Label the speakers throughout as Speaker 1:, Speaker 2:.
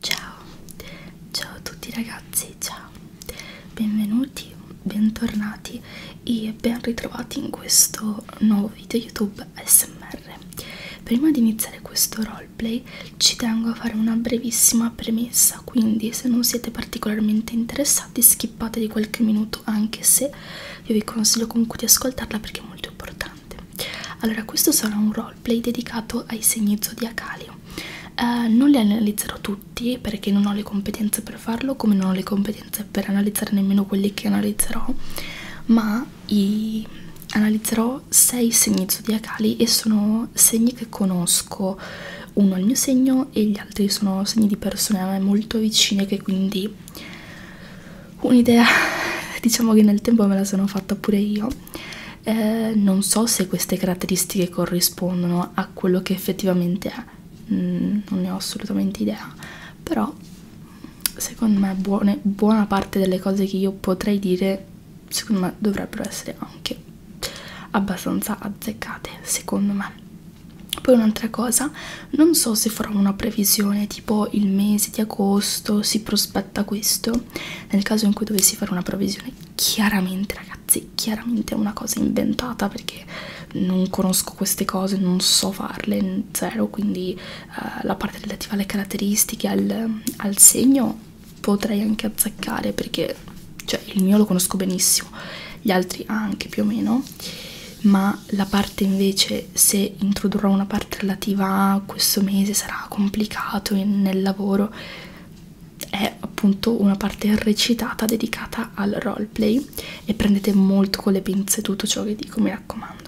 Speaker 1: Ciao, ciao a tutti ragazzi, ciao, benvenuti, bentornati e ben ritrovati in questo nuovo video YouTube ASMR. Prima di iniziare questo roleplay ci tengo a fare una brevissima premessa, quindi se non siete particolarmente interessati skippate di qualche minuto anche se io vi consiglio comunque di ascoltarla perché è molto importante. Allora questo sarà un roleplay roleplay dedicato ai segni zodiacali. Uh, non li analizzerò tutti perché non ho le competenze per farlo, come non ho le competenze per analizzare nemmeno quelli che analizzerò, ma i... analizzerò sei segni zodiacali e sono segni che conosco, uno è il mio segno e gli altri sono segni di persone a me molto vicine che quindi un'idea diciamo che nel tempo me la sono fatta pure io eh, non so se queste caratteristiche corrispondono a quello che effettivamente è, mm, non ne ho assolutamente idea, però secondo me buone, buona parte delle cose che io potrei dire secondo me dovrebbero essere anche abbastanza azzeccate, secondo me. Poi un'altra cosa, non so se farò una previsione tipo il mese di agosto si prospetta questo, nel caso in cui dovessi fare una provvisione chiaramente ragazzi chiaramente è una cosa inventata perché non conosco queste cose non so farle zero quindi uh, la parte relativa alle caratteristiche al, al segno potrei anche azzeccare perché cioè il mio lo conosco benissimo gli altri anche più o meno ma la parte invece se introdurrò una parte relativa a questo mese sarà complicato nel lavoro è appunto una parte recitata dedicata al roleplay e prendete molto con le pinze tutto ciò che dico, mi raccomando.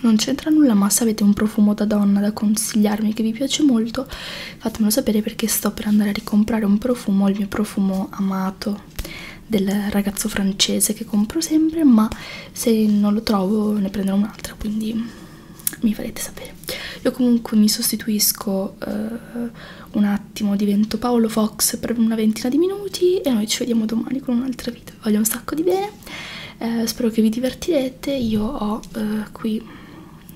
Speaker 1: Non c'entra nulla, ma se avete un profumo da donna da consigliarmi che vi piace molto, fatemelo sapere perché sto per andare a ricomprare un profumo, il mio profumo amato del ragazzo francese che compro sempre, ma se non lo trovo ne prenderò un altro, quindi mi farete sapere io comunque mi sostituisco eh, un attimo divento Paolo Fox per una ventina di minuti e noi ci vediamo domani con un'altra video voglio un sacco di bene eh, spero che vi divertirete io ho eh, qui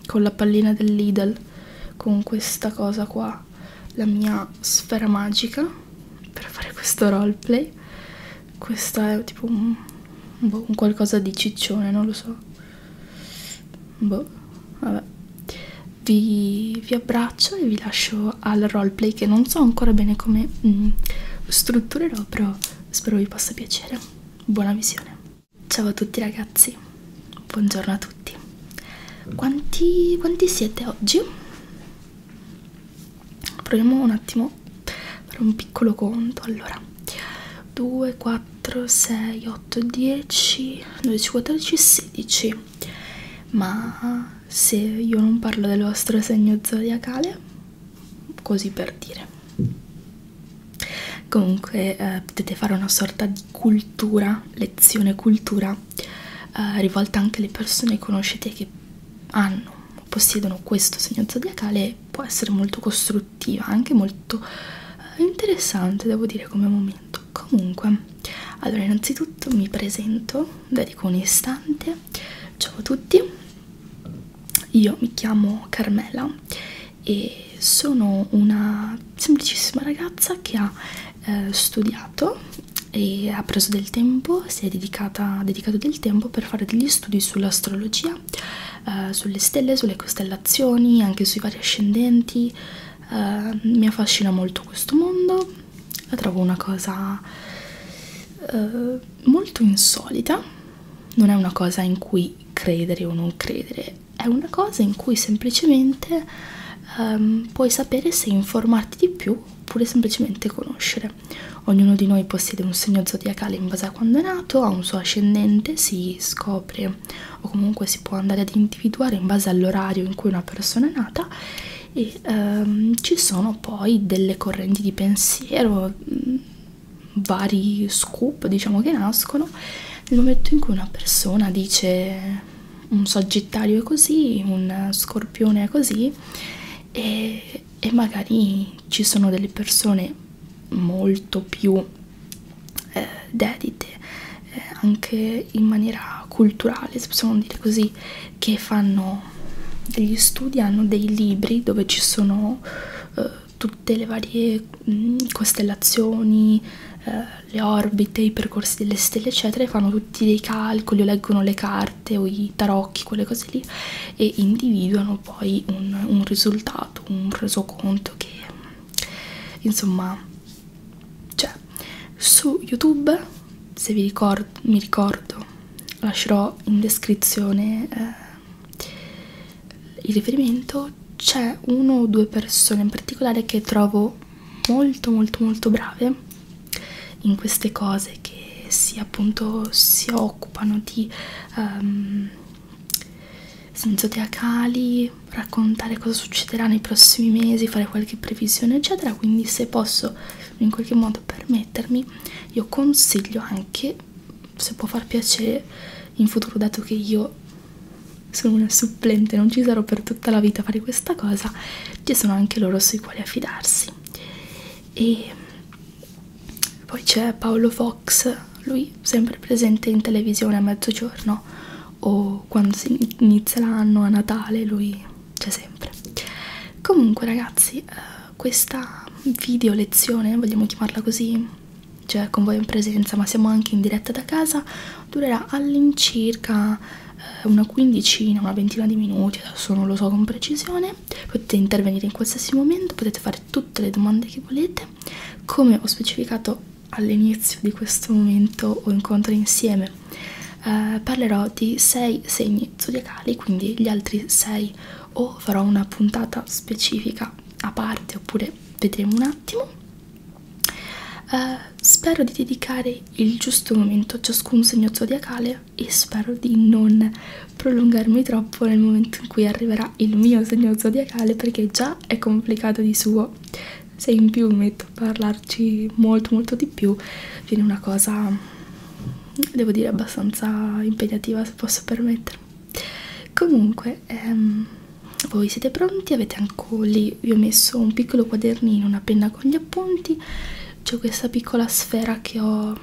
Speaker 1: con la pallina del Lidl con questa cosa qua la mia sfera magica per fare questo roleplay questa è tipo un, boh, un qualcosa di ciccione, non lo so. Boh, vabbè. Vi, vi abbraccio e vi lascio al roleplay che non so ancora bene come mm, strutturerò, però spero vi possa piacere. Buona visione. Ciao a tutti ragazzi, buongiorno a tutti. Quanti, quanti siete oggi? Proviamo un attimo dobbiamo fare un piccolo conto allora 2 4 6 8 10 12 14 16 ma se io non parlo del vostro segno zodiacale così per dire comunque eh, potete fare una sorta di cultura lezione cultura eh, rivolta anche alle persone conoscete che hanno possiedono questo segno zodiacale può essere molto costru produttiva, anche molto eh, interessante devo dire come momento. Comunque, allora innanzitutto mi presento, dedico un istante, ciao a tutti, io mi chiamo Carmela e sono una semplicissima ragazza che ha eh, studiato e ha preso del tempo, si è dedicata, dedicato del tempo per fare degli studi sull'astrologia eh, sulle stelle, sulle costellazioni, anche sui vari ascendenti. Eh, mi affascina molto questo mondo, la trovo una cosa eh, molto insolita, non è una cosa in cui credere o non credere, è una cosa in cui semplicemente ehm, puoi sapere se informarti di più oppure semplicemente conoscere Ognuno di noi possiede un segno zodiacale in base a quando è nato, ha un suo ascendente, si scopre o comunque si può andare ad individuare in base all'orario in cui una persona è nata e ehm, ci sono poi delle correnti di pensiero, mm, vari scoop diciamo che nascono nel momento in cui una persona dice un Sagittario è così, un Scorpione è così e, e magari ci sono delle persone molto più eh, dedite eh, anche in maniera culturale se possiamo dire così che fanno degli studi hanno dei libri dove ci sono eh, tutte le varie mh, mm, costellazioni eh, le orbite i percorsi delle stelle eccetera e fanno tutti dei calcoli o leggono le carte o i tarocchi quelle cose lì e individuano poi un, un risultato, un resoconto che insomma cioè su youtube se vi ricordo, mi ricordo lascerò in descrizione eh, il riferimento c'è uno o due persone in particolare che trovo molto molto molto brave in queste cose che si appunto si occupano di um, senso teacali, raccontare cosa succederà nei prossimi mesi, fare qualche previsione eccetera, quindi se posso in qualche modo permettermi, io consiglio anche, se può far piacere, in futuro dato che io sono una supplente, non ci sarò per tutta la vita a fare questa cosa, ci sono anche loro sui quali affidarsi. E poi c'è Paolo Fox, lui sempre presente in televisione a mezzogiorno o quando si inizia l'anno a Natale, lui c'è sempre. Comunque ragazzi, eh, questa video lezione, vogliamo chiamarla così, cioè con voi in presenza, ma siamo anche in diretta da casa, durerà all'incirca eh, una quindicina, una ventina di minuti, adesso non lo so con precisione, potete intervenire in qualsiasi momento, potete fare fare tutte le domande che volete come ho specificato all'inizio di questo momento o incontro insieme eh, parlerò di 6 segni zodiacali quindi gli altri 6 o farò una puntata specifica a parte oppure vedremo un attimo eh, spero di dedicare il giusto momento a ciascun segno zodiacale e spero di non prolungarmi troppo nel momento in cui arriverà il mio segno zodiacale perché già è complicato di suo se in più mi metto a parlarci molto molto di più viene una cosa devo dire abbastanza impegnativa se posso permettermi comunque ehm, voi siete pronti avete anche lì vi ho messo un piccolo quadernino una penna con gli appunti c'è questa piccola sfera che ho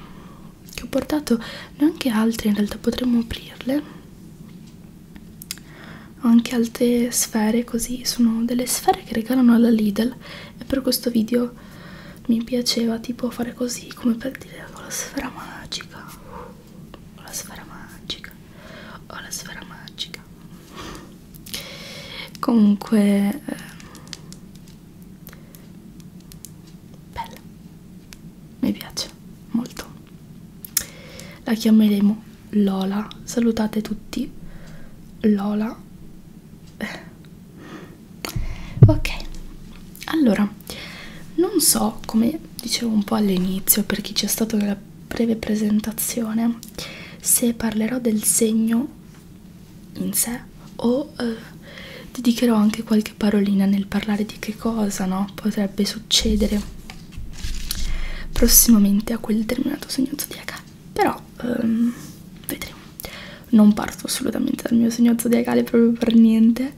Speaker 1: che ho portato neanche altre in realtà potremmo aprirle ho anche altre sfere così sono delle sfere che regalano alla Lidl e per questo video mi piaceva tipo fare così come per dire ho oh, la sfera magica ho oh, la sfera magica ho oh, la sfera magica comunque eh, bella mi piace molto la chiameremo Lola salutate tutti Lola eh. ok allora non so come dicevo un po' all'inizio per chi c'è stato nella breve presentazione se parlerò del segno in sé o eh, dedicherò anche qualche parolina nel parlare di che cosa no? potrebbe succedere prossimamente a quel determinato segno zodiacale però um, vedremo non parto assolutamente dal mio segno zodiacale proprio per niente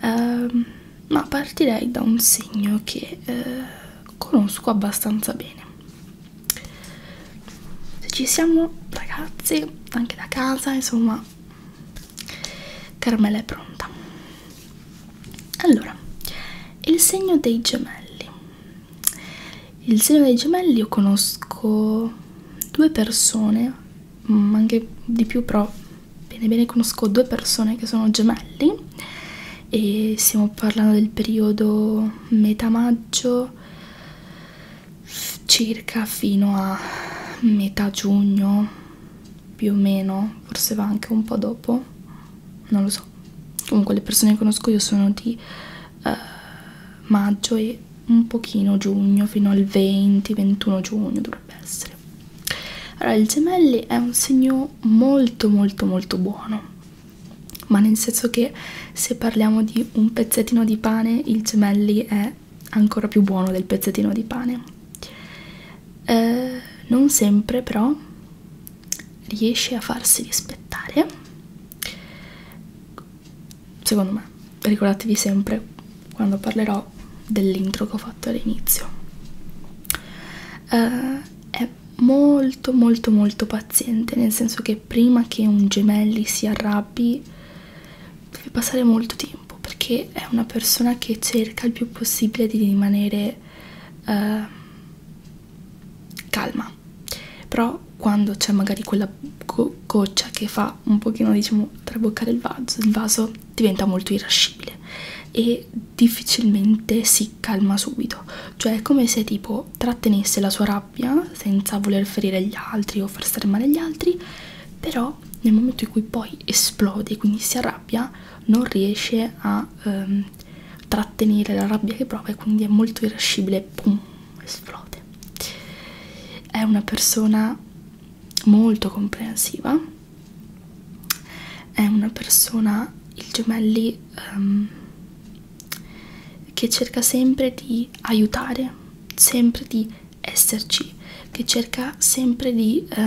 Speaker 1: um, ma partirei da un segno che uh, conosco abbastanza bene se ci siamo ragazzi anche da casa insomma Carmela è pronta. Allora, il segno dei gemelli. Il segno dei gemelli io conosco due persone, mm, anche di più però bene bene conosco due persone che sono gemelli e stiamo parlando del periodo metà maggio circa fino a metà giugno più o meno, forse va anche un po' dopo, non lo so. Comunque le persone che conosco io sono di uh, maggio e un pochino giugno, fino al 20-21 giugno dovrebbe essere. Allora, il gemelli è un segno molto molto molto buono, ma nel senso che se parliamo di un pezzettino di pane, il gemelli è è ancora più buono del pezzettino di pane. Eh, non sempre però riesce a farsi rispettare. Secondo me, ricordatevi sempre quando parlerò dell'intro che ho fatto all'inizio. Eh, è molto molto molto paziente, nel senso che prima che un gemelli si arrabbi deve passare molto tempo tempo perché è una persona che cerca il più possibile di rimanere eh, calma però quando c'è magari quella go goccia che fa un pochino diciamo traboccare il vaso, il vaso diventa molto irascibile e difficilmente si calma subito cioè è come se tipo trattenesse la sua rabbia senza voler ferire gli altri o far stare male gli altri però però nel momento in cui poi esplode, quindi si arrabbia, non riesce a ehm, trattenere la rabbia che prova e quindi è molto irascibile, pum, esplode. È una persona molto comprensiva, è una persona, il gemelli, ehm, che cerca sempre di aiutare, sempre di esserci, che cerca sempre di eh,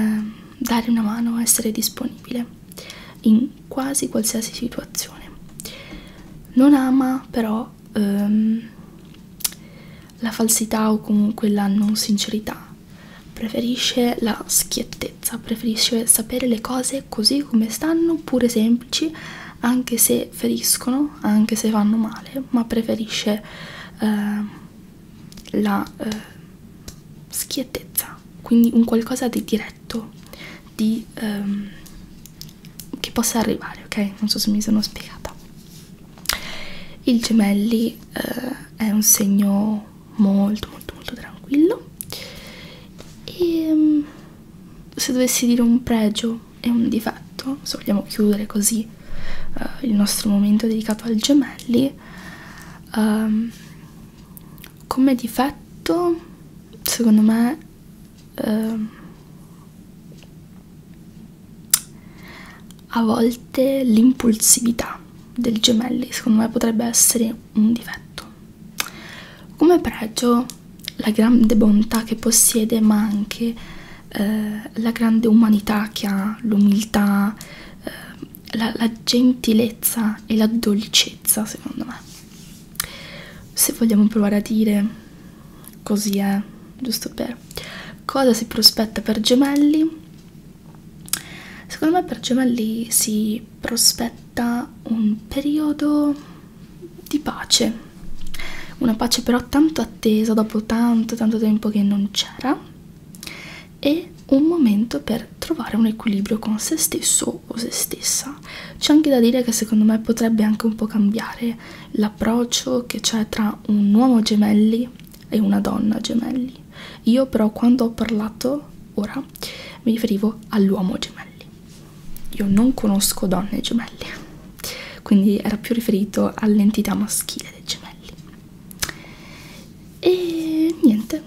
Speaker 1: dare una mano, essere disponibile in quasi qualsiasi situazione. Non ama però ehm, la falsità o comunque la non sincerità, preferisce la schiettezza, preferisce sapere le cose così come stanno, pure semplici, anche se feriscono, anche se fanno male, ma preferisce eh, la eh, schiettezza, quindi un qualcosa di diretto, di, ehm, che possa arrivare, ok? Non so se mi sono spiegata. Il gemelli eh, è un segno molto molto molto tranquillo e ehm, se dovessi dire un pregio e un difetto, se vogliamo chiudere così eh, il nostro momento dedicato al gemelli um, come difetto secondo me eh, a volte l'impulsività del gemelli secondo me potrebbe essere un difetto come pregio la grande bontà che possiede ma anche eh, la grande umanità che ha, l'umiltà, eh, la, la gentilezza e la dolcezza, secondo me. Se vogliamo provare a dire così è, giusto per cosa si prospetta per gemelli? Secondo me per gemelli si prospetta un periodo di pace, una pace però tanto attesa dopo tanto tanto tempo che non c'era e un momento per trovare un equilibrio con se stesso o se stessa. C'è anche da dire che secondo me potrebbe anche un po' cambiare l'approccio che c'è tra un uomo gemelli e una donna gemelli. Io però quando ho parlato ora mi riferivo all'uomo gemelli. Io non conosco donne gemelli, quindi era più riferito all'entità maschile dei gemelli e niente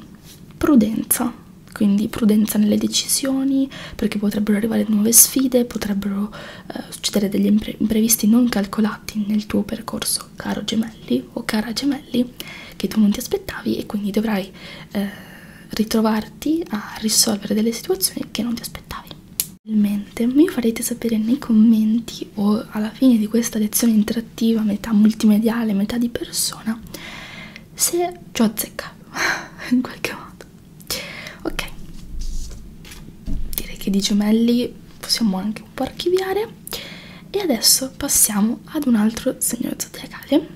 Speaker 1: prudenza quindi prudenza nelle decisioni perché potrebbero arrivare nuove sfide potrebbero eh, succedere degli impre imprevisti non calcolati nel tuo percorso caro gemelli o cara gemelli che tu non ti aspettavi e quindi dovrai eh, ritrovarti a risolvere delle situazioni che non ti aspettavi mi farete sapere nei commenti o alla fine di questa lezione interattiva, metà multimediale, metà di persona, se ci ho azzeccato in qualche modo. Ok, direi che di gemelli possiamo anche un po' archiviare. E adesso passiamo ad un altro segno zodiacale,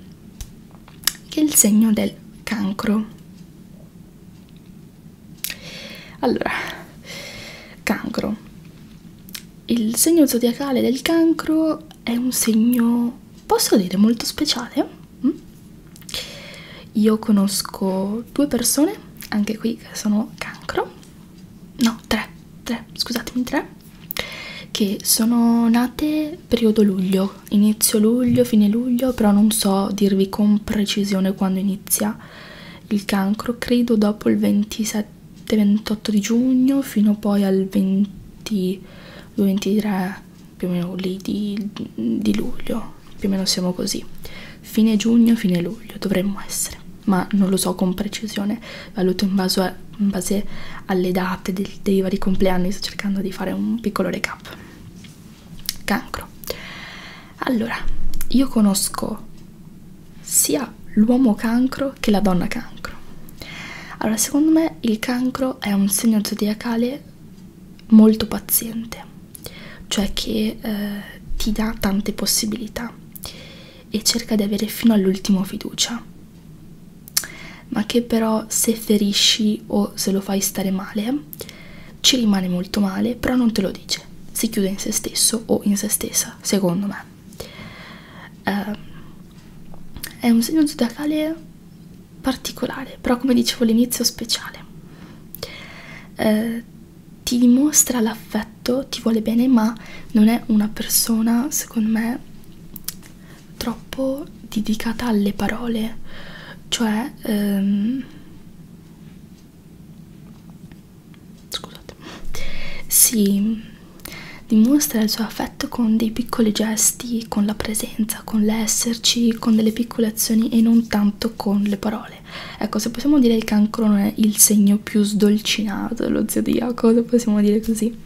Speaker 1: che è il segno del cancro. Allora, cancro. Il segno zodiacale del cancro è un segno, posso dire, molto speciale. Mm? Io conosco due persone, anche qui che sono cancro, no, tre, tre, scusatemi, tre, che sono nate periodo luglio, inizio luglio, fine luglio, però non so dirvi con precisione quando inizia il cancro credo dopo il 27-28 di giugno fino poi al 22-23 più o meno lì di, di luglio più o meno siamo così fine giugno fine luglio dovremmo essere ma non lo so con precisione valuto in base, a, in base alle date dei, dei vari compleanni sto cercando di fare un piccolo recap cancro allora, io conosco sia l'uomo cancro che la donna cancro. Allora, secondo me il cancro è un segno zodiacale molto paziente, cioè che eh, ti dà tante possibilità e cerca di avere fino all'ultimo fiducia, ma che però se ferisci o se lo fai stare male, ci rimane molto male, però non te lo dice felice, si chiude in se stesso o in se stessa, secondo me. Eh, è un segno zodiacale particolare, però come dicevo all'inizio speciale. Eh, ti dimostra l'affetto, ti vuole bene, ma non è una persona, secondo me, troppo dedicata alle parole. Cioè, ehm, scusate si dimostra il suo affetto con dei piccoli gesti con la presenza con l'esserci con delle piccole azioni e non tanto con le parole ecco se possiamo dire il cancro non è il segno più sdolcinato dello zodiaco se possiamo dire così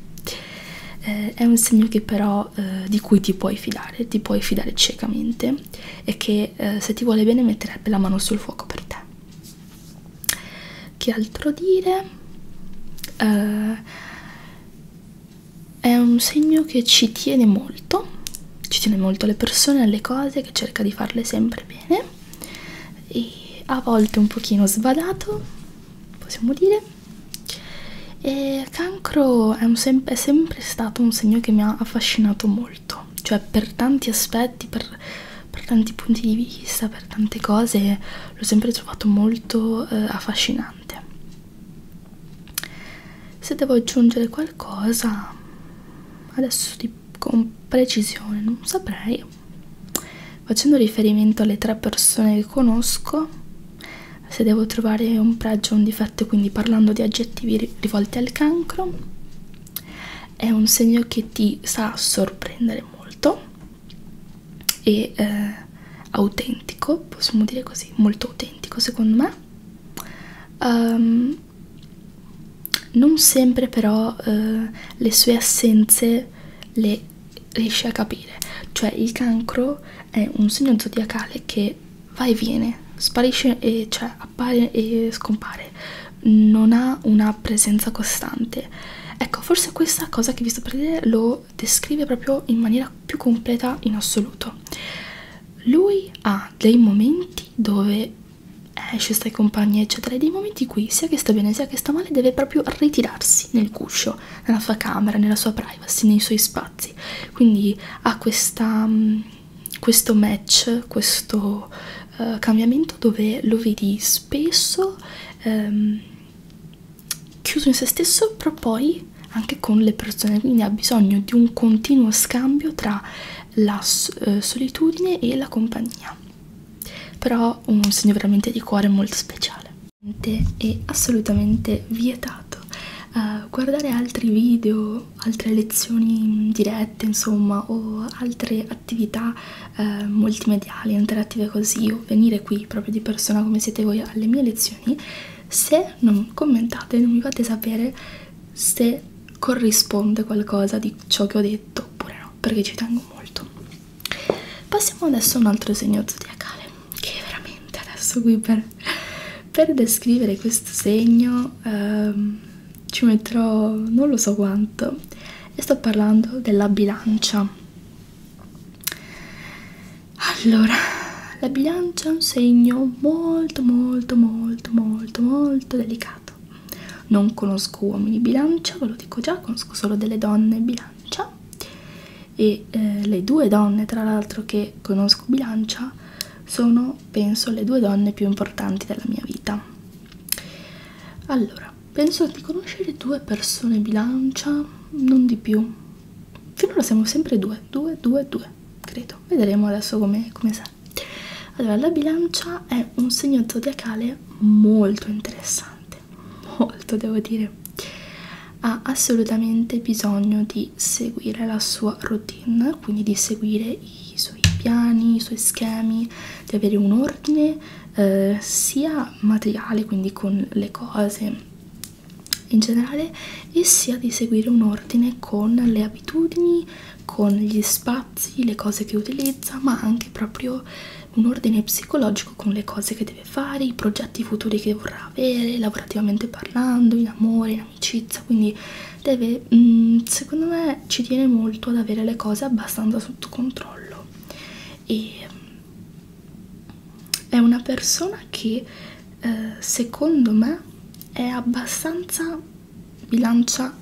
Speaker 1: eh, è un segno che però eh, di cui ti puoi fidare ti puoi fidare ciecamente e che eh, se ti vuole bene metterebbe la mano sul fuoco per te che altro dire uh, è un segno che ci tiene molto ci tiene molto alle persone alle cose che cerca di farle sempre bene e a volte un pochino sbadato possiamo dire e cancro è, un sem è sempre stato un segno che mi ha affascinato molto cioè per tanti aspetti per per tanti punti di vista, per tante cose, l'ho sempre trovato molto eh, affascinante. Se devo aggiungere qualcosa, adesso di, con precisione non saprei, facendo riferimento alle tre persone che conosco, se devo trovare un pregio o un difetto, quindi parlando di aggettivi rivolti al cancro, è un segno che ti sa sorprendere molto e eh, autentico possiamo dire così molto autentico secondo me um, non sempre però eh, le sue assenze le riesci a capire cioè il cancro è un segno zodiacale che va e viene sparisce e cioè appare e scompare, non ha una presenza costante. Ecco, forse questa cosa che vi sto per dire lo descrive proprio in maniera più completa in assoluto. Lui ha dei momenti dove esce, sta in compagnia, eccetera, e dei momenti in cui sia che sta bene sia che sta male deve proprio ritirarsi nel guscio, nella sua camera, nella sua privacy, nei suoi spazi. Quindi ha questa mm, questo match, questo uh, cambiamento dove lo vedi spesso um, chiuso in se stesso, però poi anche con le persone, quindi ha bisogno di un continuo scambio tra la uh, solitudine e la compagnia. Però un segno veramente di cuore molto speciale. È assolutamente vietato uh, guardare altri video altre lezioni mm, dirette insomma o altre attività eh, multimediali interattive così o venire qui proprio di persona come siete voi alle mie lezioni se non commentate non mi fate sapere se corrisponde qualcosa di ciò che ho detto oppure no perché ci tengo molto passiamo adesso a un altro segno zodiacale che veramente adesso qui per, per descrivere questo segno ehm, ci metterò non lo so quanto e sto parlando della bilancia allora la bilancia è un segno molto molto molto molto molto delicato non conosco uomini bilancia ve lo dico già conosco solo delle donne bilancia e eh, le due donne tra l'altro che conosco bilancia sono penso le due donne più importanti della mia vita allora, penso di conoscere due persone bilancia, non di più. Finora siamo sempre due, due, due, due, credo. Vedremo adesso come com sarà. Allora, la bilancia è un segno zodiacale molto interessante, molto devo dire. Ha assolutamente bisogno di seguire la sua routine, quindi di seguire i suoi piani, i suoi schemi, di avere un ordine eh, sia materiale, quindi con le cose in generale, e sia di seguire un ordine con le abitudini, con gli spazi, le cose che utilizza, ma anche proprio un ordine psicologico con le cose che deve fare, i progetti futuri che vorrà avere, lavorativamente parlando, in amore, in amicizia, quindi deve mh, mm, secondo me ci tiene molto ad avere le cose abbastanza sotto controllo e mm, è una persona che eh, secondo me è abbastanza bilancia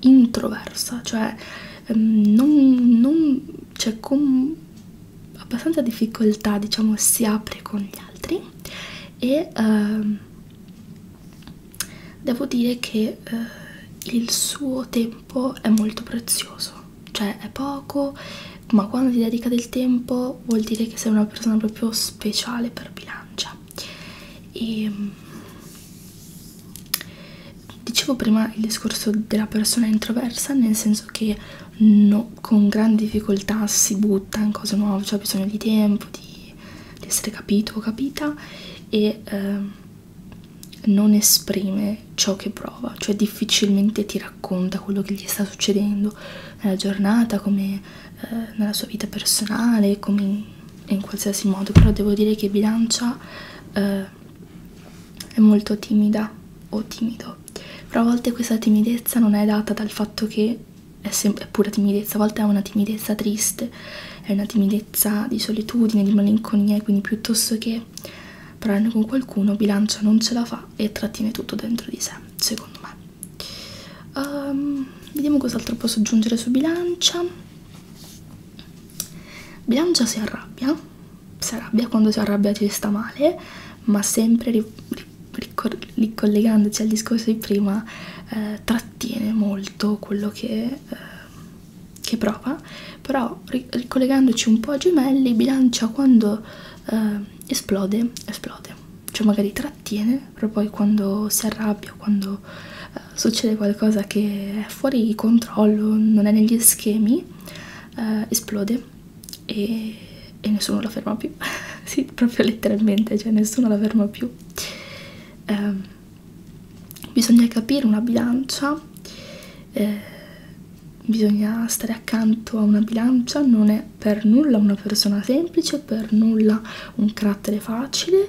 Speaker 1: introversa cioè ehm, non, non cioè, con abbastanza difficoltà diciamo si apre con gli altri e ehm, devo dire che eh, il suo tempo è molto prezioso cioè è poco ma quando ti dedica del tempo vuol dire che sei una persona proprio speciale per bilancia e ehm, dicevo prima il discorso della persona introversa nel senso che no, con grande difficoltà si butta in cose nuove, c'è cioè bisogno di tempo, di, di essere capito o capita e ehm, non esprime ciò che prova, cioè difficilmente ti racconta quello che gli sta succedendo nella giornata, come eh, nella sua vita personale, come in, in qualsiasi modo, però devo dire che bilancia eh, è molto timida o timido, però a volte questa timidezza non è data dal fatto che è, è pura timidezza, a volte è una timidezza triste volte è una timidezza di solitudine, di malinconia e quindi piuttosto che parlarne con qualcuno bilancia non ce la fa e trattiene tutto dentro di sé, secondo me. Um, vediamo cos'altro posso aggiungere su bilancia. Bilancia si arrabbia, si arrabbia quando si arrabbia ci sta male, ma sempre ri ricollegandosi al discorso di prima eh, trattiene molto quello che eh, che prova, però ricollegandoci un po' a gemelli bilancia quando eh, esplode, esplode, cioè magari trattiene, però poi quando si arrabbia, quando eh, succede qualcosa che è fuori controllo, non è negli schemi, eh, esplode e, e nessuno la ferma più, sì, proprio letteralmente, cioè nessuno la ferma più. Eh, bisogna capire una bilancia, eh, bisogna stare accanto a una bilancia, non è per nulla una persona semplice, per nulla un carattere facile,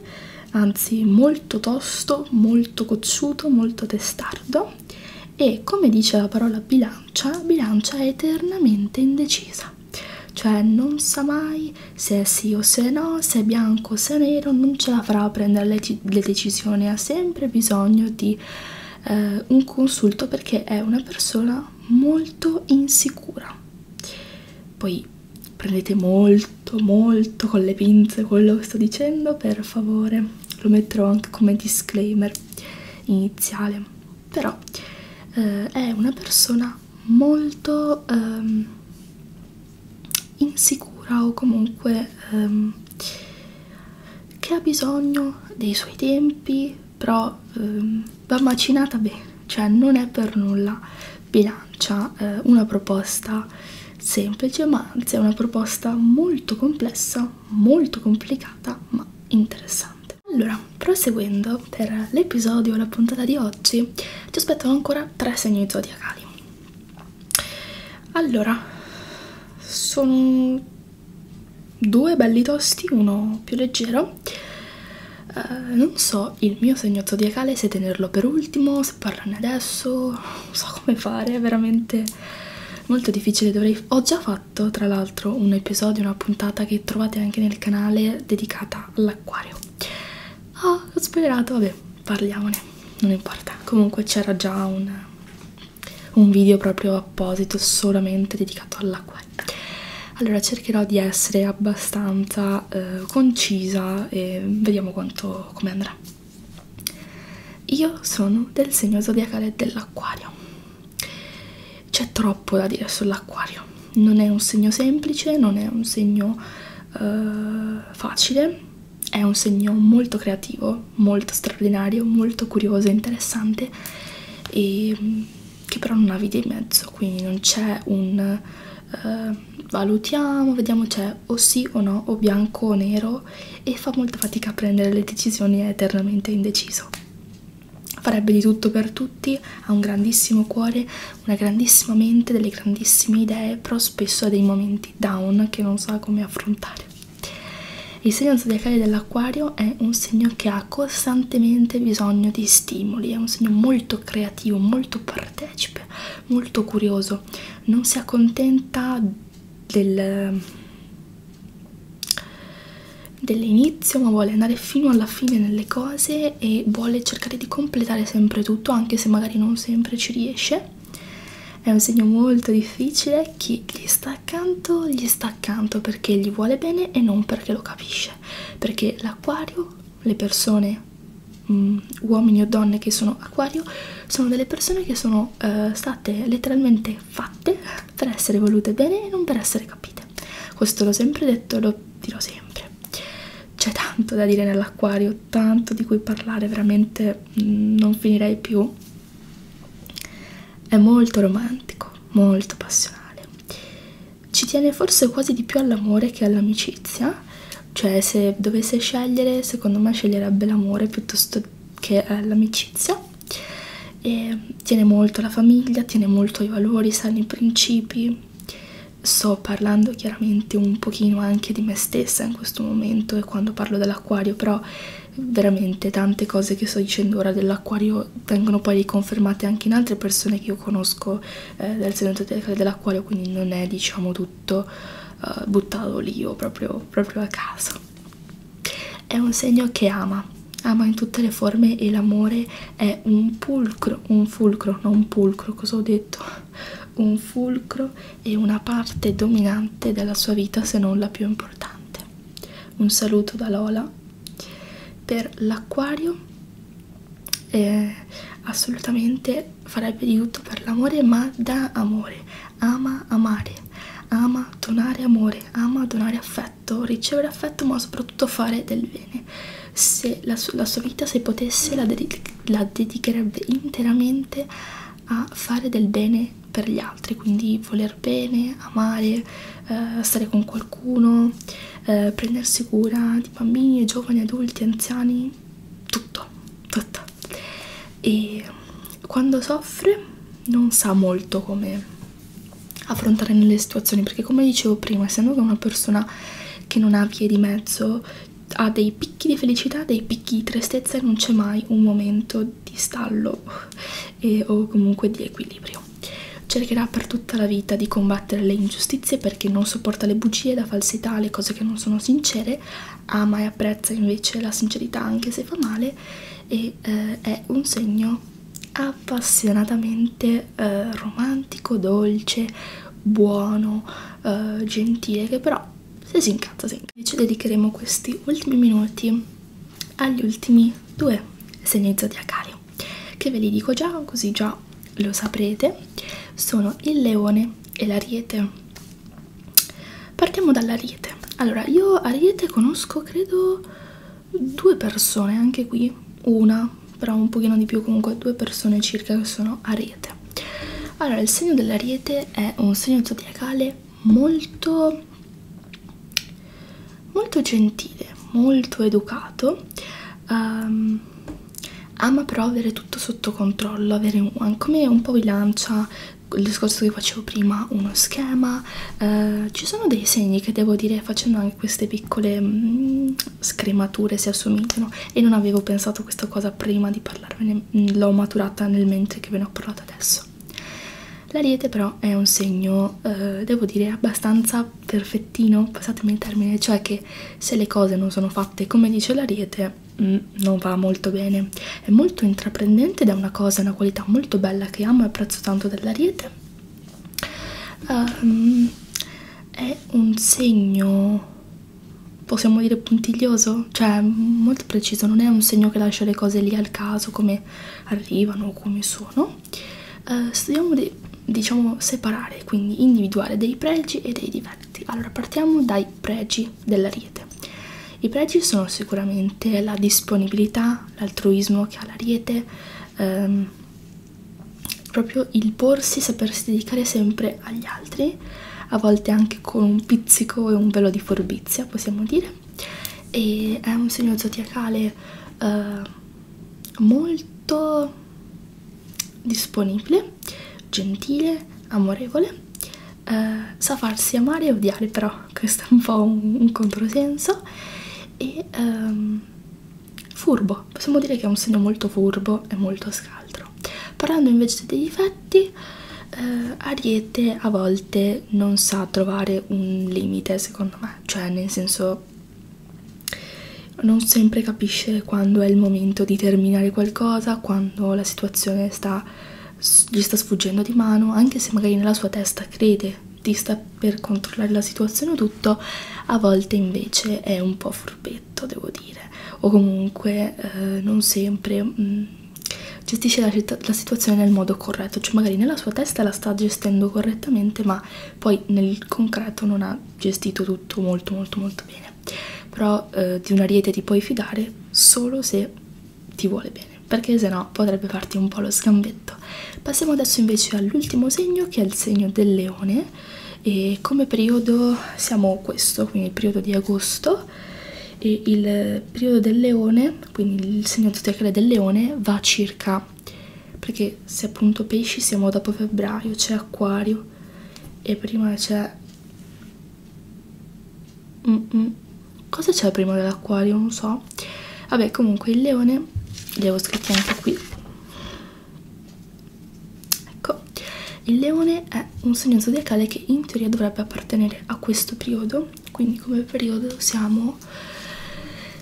Speaker 1: anzi molto tosto, molto cocciuto, molto testardo e come dice la parola bilancia, bilancia è eternamente indecisa, cioè non sa mai se è sì o se no, se è bianco o se è nero, non ce la farà a prendere le, le decisioni, ha sempre bisogno di eh, un consulto perché è una persona molto insicura. Poi prendete molto molto con le pinze quello che sto dicendo, per favore, lo metterò anche come disclaimer iniziale, però eh, è una persona molto... Ehm, insicura o comunque ehm, che ha bisogno dei suoi tempi però ehm, va macinata bene cioè non è per nulla bilancia eh, una proposta semplice ma anzi è una proposta molto complessa molto complicata ma interessante allora proseguendo per l'episodio la puntata di oggi ci aspettano ancora tre segni zodiacali allora sono due belli tosti uno più leggero eh, non so il mio segno zodiacale se tenerlo per ultimo se parlarne adesso non so come fare è veramente molto difficile dovrei ho già fatto tra l'altro un episodio una puntata che trovate anche nel canale dedicata all'acquario ah oh, ho spoilerato vabbè parliamone, non importa. Comunque c'era già un, un video proprio apposito, solamente dedicato all'acqua. Allora cercherò di essere abbastanza eh, concisa e vediamo quanto come andrà. Io sono del segno zodiacale dell'acquario. C'è troppo da dire sull'acquario. Non è un segno semplice, non è un segno uh, facile è un segno molto creativo, molto straordinario, molto curioso e interessante e mm, che però non ha via di mezzo, quindi non c'è un uh, valutiamo, vediamo c'è o sì o no, o bianco o nero e fa molta fatica a prendere le decisioni, è eternamente indeciso. Farebbe di tutto per tutti, ha un grandissimo cuore, una grandissima mente, delle grandissime idee, però spesso ha dei momenti down che non sa come affrontare. Il segno zodiacale dell'acquario è un segno che ha costantemente bisogno di stimoli, è un segno molto creativo, molto partecipe, molto curioso, non si accontenta del dell'inizio ma vuole andare fino alla fine nelle cose e vuole cercare di completare sempre tutto tutto anche se magari non sempre ci riesce è un segno molto difficile chi gli sta accanto gli sta accanto perché gli vuole bene e non perché lo capisce perché l'acquario le persone mh, mm, uomini o donne che sono acquario sono delle persone che sono eh, state letteralmente fatte per essere volute bene e non per essere capite questo l'ho sempre detto e lo dirò sempre c'è tanto da dire nell'acquario proprio tanto di cui parlare, veramente mm, non finirei più. È molto romantico, molto passionale. Ci tiene forse quasi di più all'amore che all'amicizia, cioè se dovesse scegliere, secondo me sceglierebbe l'amore piuttosto che eh, l'amicizia. E tiene molto la famiglia, tiene molto i valori, sani principi, sto parlando chiaramente un pochino anche di me stessa in questo momento e quando parlo dell'acquario però veramente tante cose che sto dicendo ora dell'acquario vengono poi riconfermate anche in altre persone che io conosco eh, del segmento dell'acquario quindi non è diciamo tutto eh, buttato lì io proprio, proprio a caso è un segno che ama ama in tutte le forme e l'amore è un pulcro un fulcro non un pulcro cosa ho detto un fulcro e una parte dominante della sua vita se non la più importante. Un saluto da Lola. Per l'acquario eh, assolutamente farebbe di tutto per l'amore ma da amore, ama amare, ama donare amore, ama donare affetto, ricevere affetto ma soprattutto fare del bene se la, su la sua vita se potesse la, ded la dedicherebbe interamente a fare del bene per gli altri, quindi voler bene, amare, eh, stare con qualcuno, eh, prendersi cura di bambini, giovani, adulti, anziani, tutto, tutto. E quando soffre non sa molto come affrontare nelle situazioni perché come dicevo prima essendo che una persona che non ha via di mezzo ha dei picchi di felicità, dei picchi di tristezza e non c'è mai un momento di stallo e, eh, o comunque di equilibrio. Cercherà per tutta la vita di combattere le ingiustizie perché non sopporta le bugie, la falsità, le cose che non sono sincere, ama e apprezza invece la sincerità anche se fa male e eh, è un segno appassionatamente eh, romantico, dolce, buono, eh, gentile, che però se si incazza si incazza. Invece dedicheremo questi ultimi minuti agli ultimi due segnalizzati a cario, che ve li dico già, così già lo saprete, sono il leone e l'ariete. Partiamo dall'ariete. Allora, io ariete conosco credo due persone, anche qui, una, però un pochino di più comunque due persone circa che sono ariete allora il segno dell'ariete è un segno zodiacale molto molto gentile molto educato um, ama però avere tutto sotto controllo avere un, come un po' vi lancia il discorso che facevo prima uno schema uh, ci sono dei segni che devo dire facendo anche queste piccole mm, scremature si assomigliano e non avevo pensato a questa cosa prima di parlarvene, mm, l'ho maturata nel mentre che ve ne ho parlato adesso. L'ariete però è un segno, eh, devo dire, abbastanza perfettino, passatemi il termine, cioè che se le cose non sono fatte come dice l'ariete mh, mm, non va molto bene. È molto intraprendente ed è una cosa, una qualità molto bella che amo e apprezzo tanto dell'ariete. Um, è un segno possiamo dire puntiglioso, cioè molto preciso, non è un segno che lascia le cose lì al caso come arrivano o come sono. Uh, studiamo di, diciamo separare, quindi individuare dei pregi e dei difetti. Allora partiamo dai pregi dell'ariete. I pregi sono sicuramente la disponibilità, l'altruismo che ha l'ariete, ehm, proprio il porsi, sapersi dedicare sempre agli altri, a volte anche con un pizzico e un velo di forbizia, possiamo dire, e è un segno zodiacale eh, molto disponibile, gentile, amorevole, eh, sa farsi amare e odiare, però questo è un po' un, un controsenso, e ehm, furbo, possiamo dire che è un segno molto furbo e molto scaltro altro parlando invece dei difetti eh, Ariete a volte non sa trovare un limite secondo me cioè nel senso non sempre capisce quando è il momento di terminare qualcosa quando la situazione sta, gli sta sfuggendo di mano anche se magari nella sua testa crede di sta per controllare la situazione o tutto a volte invece è un po' furbetto poveretto, devo dire, o comunque eh, non sempre mh, mm, gestisce la, la situazione nel modo corretto, cioè magari nella sua testa la sta gestendo correttamente, ma poi nel concreto non ha gestito tutto molto molto molto bene. Però eh, di un ariete ti puoi fidare solo se ti vuole bene perché sennò potrebbe farti un po' lo sgambetto. Passiamo adesso invece all'ultimo segno che è il segno del leone e come periodo siamo questo quindi il periodo di agosto e il periodo del leone quindi il segno zodiacale del leone va circa perché se appunto pesci siamo dopo febbraio c'è acquario e prima c'è mm -mm. cosa c'è prima dell'acquario non so vabbè comunque il leone li avevo scritti anche qui Ecco, il leone è un segno zodiacale che in teoria dovrebbe appartenere a questo periodo, quindi come periodo siamo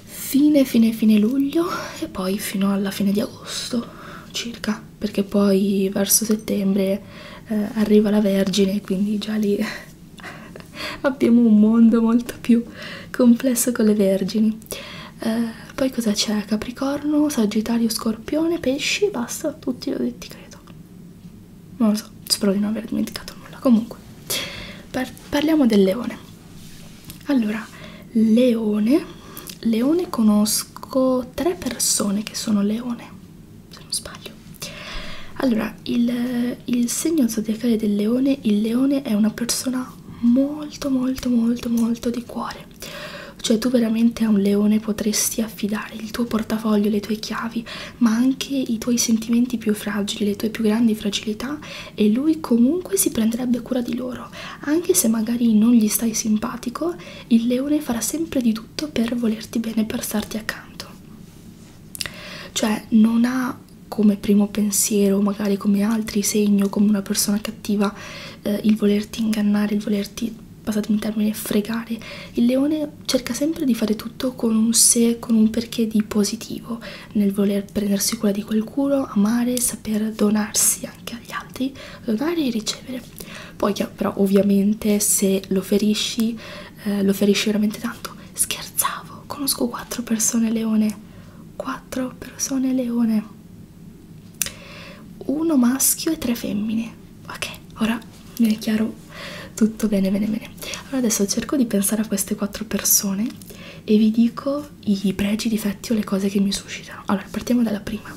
Speaker 1: fine fine fine luglio e poi fino alla fine di agosto circa, perché poi verso settembre eh, arriva la Vergine, quindi già lì abbiamo un mondo molto più complesso con le Vergini eh, poi cosa c'è? Capricorno, Sagittario, Scorpione, Pesci, basta, tutti li ho detti credo. Non lo so, spero di non aver dimenticato nulla. Comunque, par parliamo del leone. Allora, leone, leone conosco tre persone che sono leone, se non sbaglio. Allora, il, il segno zodiacale del leone, il leone è una persona molto molto molto molto di cuore fare. Cioè tu veramente a un leone potresti affidare il tuo portafoglio, le tue chiavi, ma anche i tuoi sentimenti più fragili, le tue più grandi fragilità e lui comunque si prenderebbe cura di loro. Anche se magari non gli stai simpatico, il leone farà sempre di tutto per volerti bene, per starti accanto. Cioè non ha come primo pensiero, magari come altri segno, come una persona cattiva, eh, il volerti ingannare, il volerti passatemi il termine, fregare. Il leone cerca sempre di fare tutto con un sé, con un perché di positivo, nel voler prendersi cura di qualcuno, amare, saper donarsi anche agli altri, donare e ricevere. Poi però ovviamente se lo ferisci, eh, lo ferisci veramente tanto. Scherzavo, conosco quattro persone leone, quattro persone leone uno maschio e tre femmine ok ora mi è chiaro tutto bene bene bene allora adesso cerco di pensare a queste quattro persone e vi dico i pregi, i difetti o le cose che mi suscitano allora partiamo dalla prima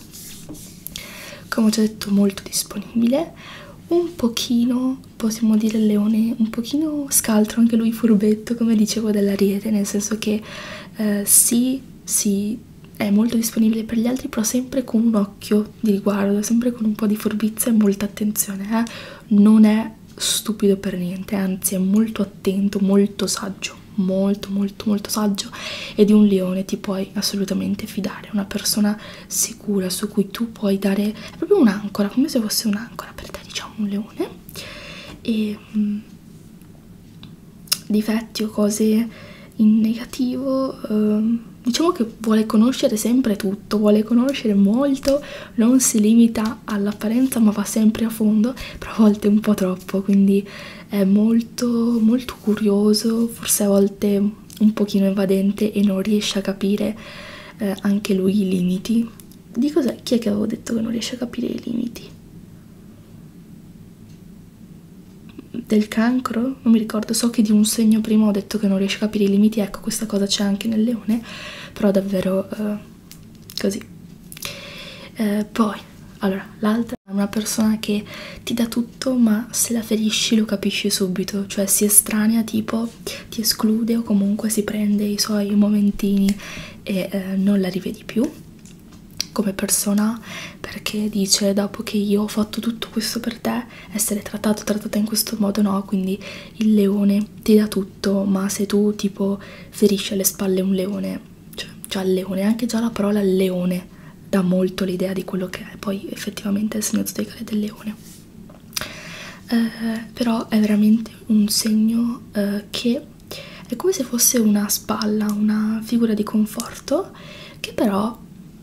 Speaker 1: come ho già detto molto disponibile un pochino possiamo dire il leone un pochino scaltro anche lui furbetto come dicevo dell'ariete nel senso che eh, sì si quindi è molto disponibile per gli altri però sempre con un occhio di riguardo, sempre con un po' di furbizia e molta attenzione, eh? non è stupido per niente, anzi è molto attento, molto saggio molto molto molto saggio e di un leone ti puoi assolutamente fidare, una persona sicura su cui tu puoi dare è proprio un'ancora, come se fosse un'ancora per te diciamo un leone e mh, mm, difetti o cose in negativo, eh, diciamo che vuole conoscere sempre tutto, vuole conoscere molto, non si limita all'apparenza ma va sempre a fondo, però a volte un po' troppo, quindi è molto, molto curioso, forse a volte un pochino evadente e non riesce a capire eh, anche lui i limiti. Di cos'è? Chi è che avevo detto che non riesce a capire i limiti? del cancro, non mi ricordo, so che di un segno prima ho detto che non riesce a capire i limiti, ecco questa cosa c'è anche nel leone, però davvero eh, così. Eh, poi, allora, l'altra è una persona che ti dà tutto ma se la ferisci lo capisci subito, cioè si estranea tipo, ti esclude o comunque si prende i suoi momentini e eh, non la rivedi più come persona perché dice dopo che io ho fatto tutto questo per te essere trattato trattata in questo modo no quindi il leone ti dà tutto ma se tu tipo ferisci alle spalle un leone cioè già il leone anche già la parola leone dà molto l'idea di quello che è poi effettivamente è il segno zodiacale del leone eh, però è veramente un segno eh, che è come se fosse una spalla una figura di conforto che però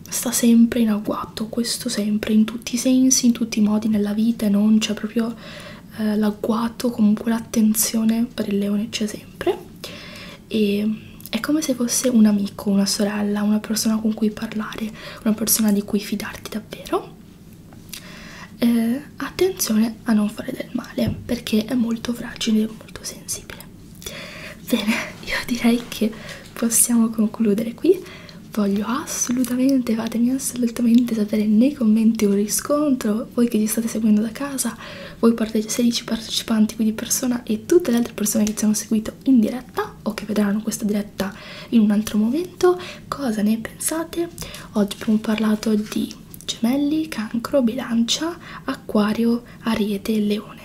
Speaker 1: sta sempre in agguato, questo sempre, in tutti i sensi, in tutti i modi nella vita e non c'è proprio eh, l'agguato, comunque l'attenzione per il leone c'è sempre e è come se fosse un amico, una sorella, una persona con cui parlare, una persona di cui fidarti davvero. Eh, attenzione a non fare del male perché è molto fragile e molto sensibile. Bene, io direi che possiamo concludere qui. Voglio assolutamente, fatemi assolutamente sapere nei commenti un riscontro, voi che ci state seguendo da casa, voi 16 partecipanti qui di persona e tutte le altre persone che ci hanno seguito in diretta o che vedranno questa diretta in un altro momento, cosa ne pensate? Oggi abbiamo parlato di gemelli, cancro, bilancia, acquario Ariete e Leone.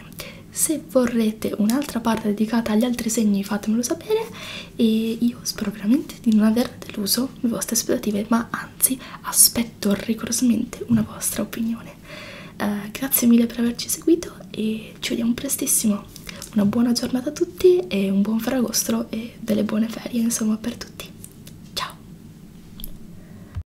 Speaker 1: Se vorrete un'altra parte dedicata agli altri segni fatemelo sapere e io spero veramente di non aver deluso le vostre aspettative, ma anzi aspetto rigorosamente una vostra opinione. Uh, grazie mille per averci seguito e ci vediamo prestissimo. Una buona giornata a tutti e un buon ferragostro e delle buone ferie insomma per tutti. Ciao!